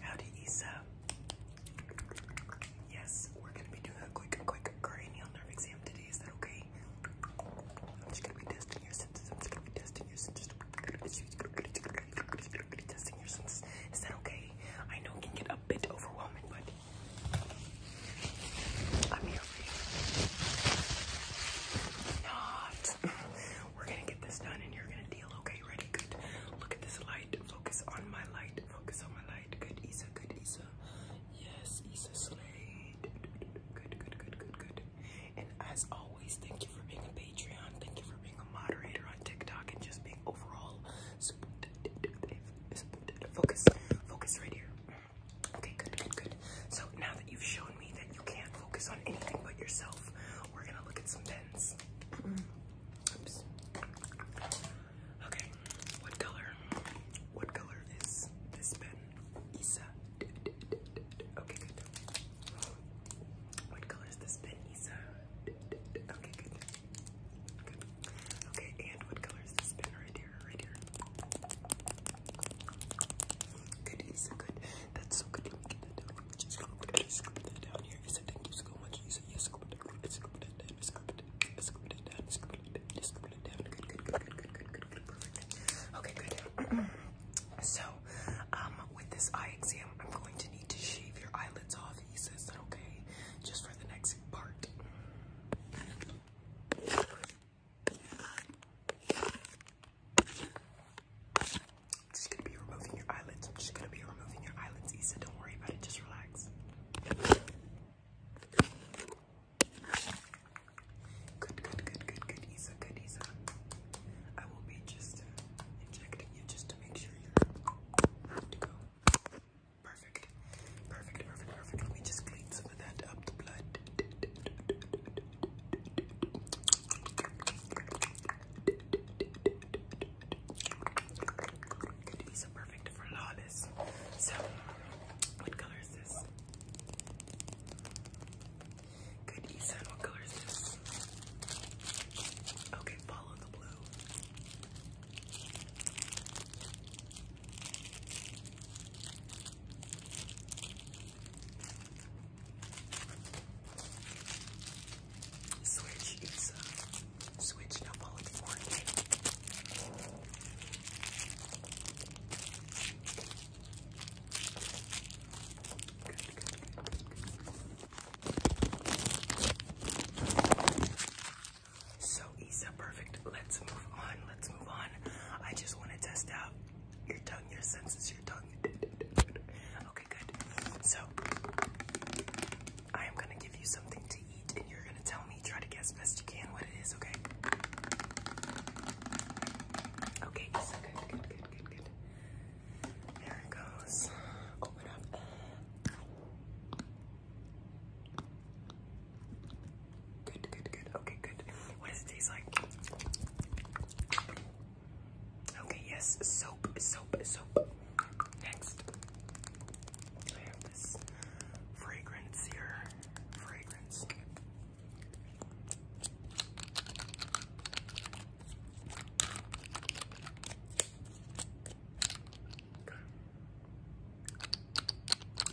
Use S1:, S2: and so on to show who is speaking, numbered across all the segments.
S1: Howdy, Issa. Yes, we're gonna be doing a quick, quick cranial nerve exam today. Is that okay? I'm just gonna be testing your senses. I'm just gonna be testing your senses. Is that okay? I know it can get a bit overwhelming, but I'm here for you. Not. We're gonna get this done and you're gonna deal, okay? Ready? Good. Look at this light. Focus on my light. Focus on my light. Good, Isa. Good, Isa. Yes, Isa Slade. Good, good, good, good, good. And as always, thank you for being a Patreon. Thank you for being a moderator on TikTok and just being overall Focus, focus right here. Okay, good, good, good. So now that you've shown me that you can't focus on anything but yourself, we're gonna look at some pens. Okay, what color? What color is this pen? Isa. Okay, good. What color is this pen, Isa? Okay, good. Okay, and what color is this pen right here? Right here. Good, Isa, good. That's so good. Scoop that down here. Good, good, good, good, good, Okay, good. so, um, with this eye exam, I'm going to need to shave your eyelids off. is that okay? Just for the next part. I'm just gonna be removing your eyelids. I'm just gonna be removing your eyelids, Issa. Don't worry about it. Just relax. Good, good, good, good, good, Isa, good, Isa. I will be just injecting you just to make sure you're Perfect, perfect, perfect, perfect. Let me just clean some of that up, the blood. These are perfect for lawless. So, what color is this? Good, Ethan. What color is this? Okay, follow the blue. Switch is uh, Switch number four. Good, So Isa, perfect. Let's move on. Let's move on. I just want to test out your tongue, your senses, your tongue. Okay, good. So, I am gonna give you something to eat, and you're gonna tell me, try to guess best you can what it is, okay? Okay, good, good, good, good, good. There it goes. Open up. Good, good, good. Okay, good. What does it taste like? Okay, yes, soap, soap, soap. Next, fragrance here. Fragrance.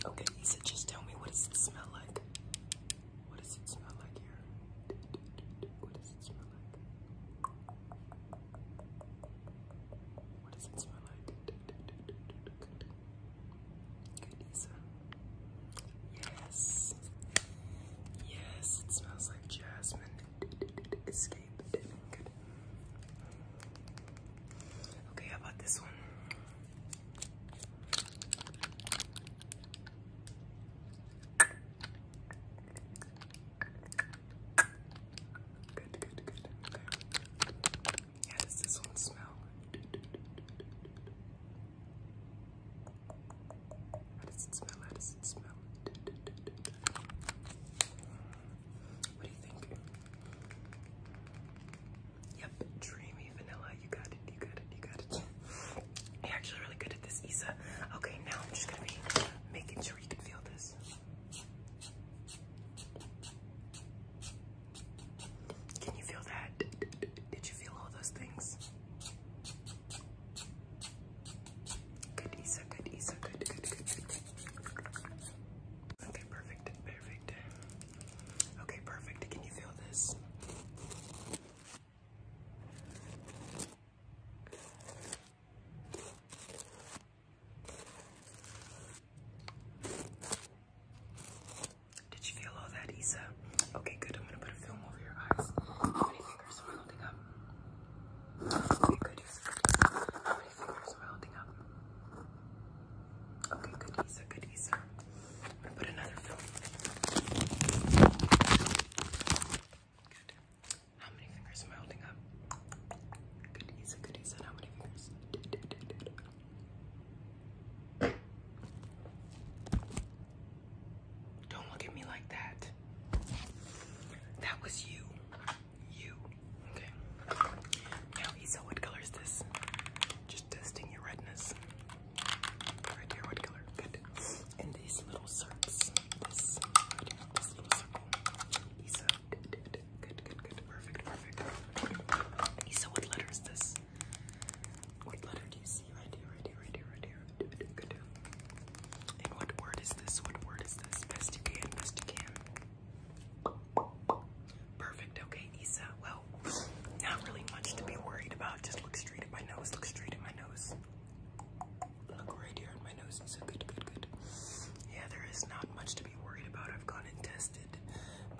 S1: Okay, Issa, just tell me what does it smell like? What does it smell like here? What does it smell like? What does it smell like? Good, Issa. Yes. Yes, it smells like jasmine. Escape. Okay, how about this one? Good, good, good. Okay. does this one smell? How does it smell? How does it smell? What do you think? Yep, dreamy vanilla. You got it, you got it, you got it. You're actually really good at this, Isa. Okay, now I'm just gonna be making sure you can feel this. Can you feel that? Did you feel all those things? Good, Isa, good, Isa, good, good, good, good. Okay, perfect, perfect. Okay, perfect. Can you feel this? Did you feel all that, Isa? Okay, good. I'm gonna put a film over your eyes. How many fingers am I holding up? Okay, good. i my fingers are holding up. Okay, good Issa, I'm gonna put another film. How many fingers am I holding up? Good Issa, good How many fingers? Don't look at me like that. That was you you. Okay. Now, Isa, what color is this? Just testing your redness. Right here, what color? Good. And these little circles. This, right here, this little circle. Isa, good, good, good, good. Perfect, perfect. Isa, what letter is this? What letter do you see? Right here, right here, right here, right here. Good. And what word is this? What word is this? Best you can, best you can. Perfect, okay, Issa. Well, not really much to be worried about. Just look straight at my nose, look straight at my nose. Look right here at my nose, Issa. Good, good, good. Yeah, there is not much to be worried about. I've gone and tested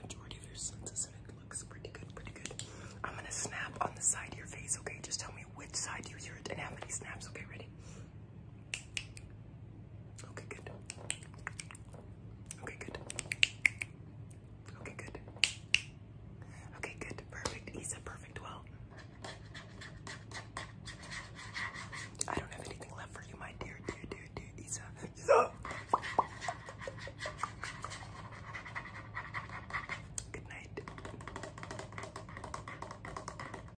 S1: majority of your senses and it looks pretty good, pretty good. I'm gonna snap on the side of your face, okay? Just tell me which side you hear it and how many snaps, okay? Ready? Okay, good. Okay, good. Okay, good. Okay, good. Perfect. Isa, perfect. Well, I don't have anything left for you, my dear, dear, dear, dear Isa. Good night.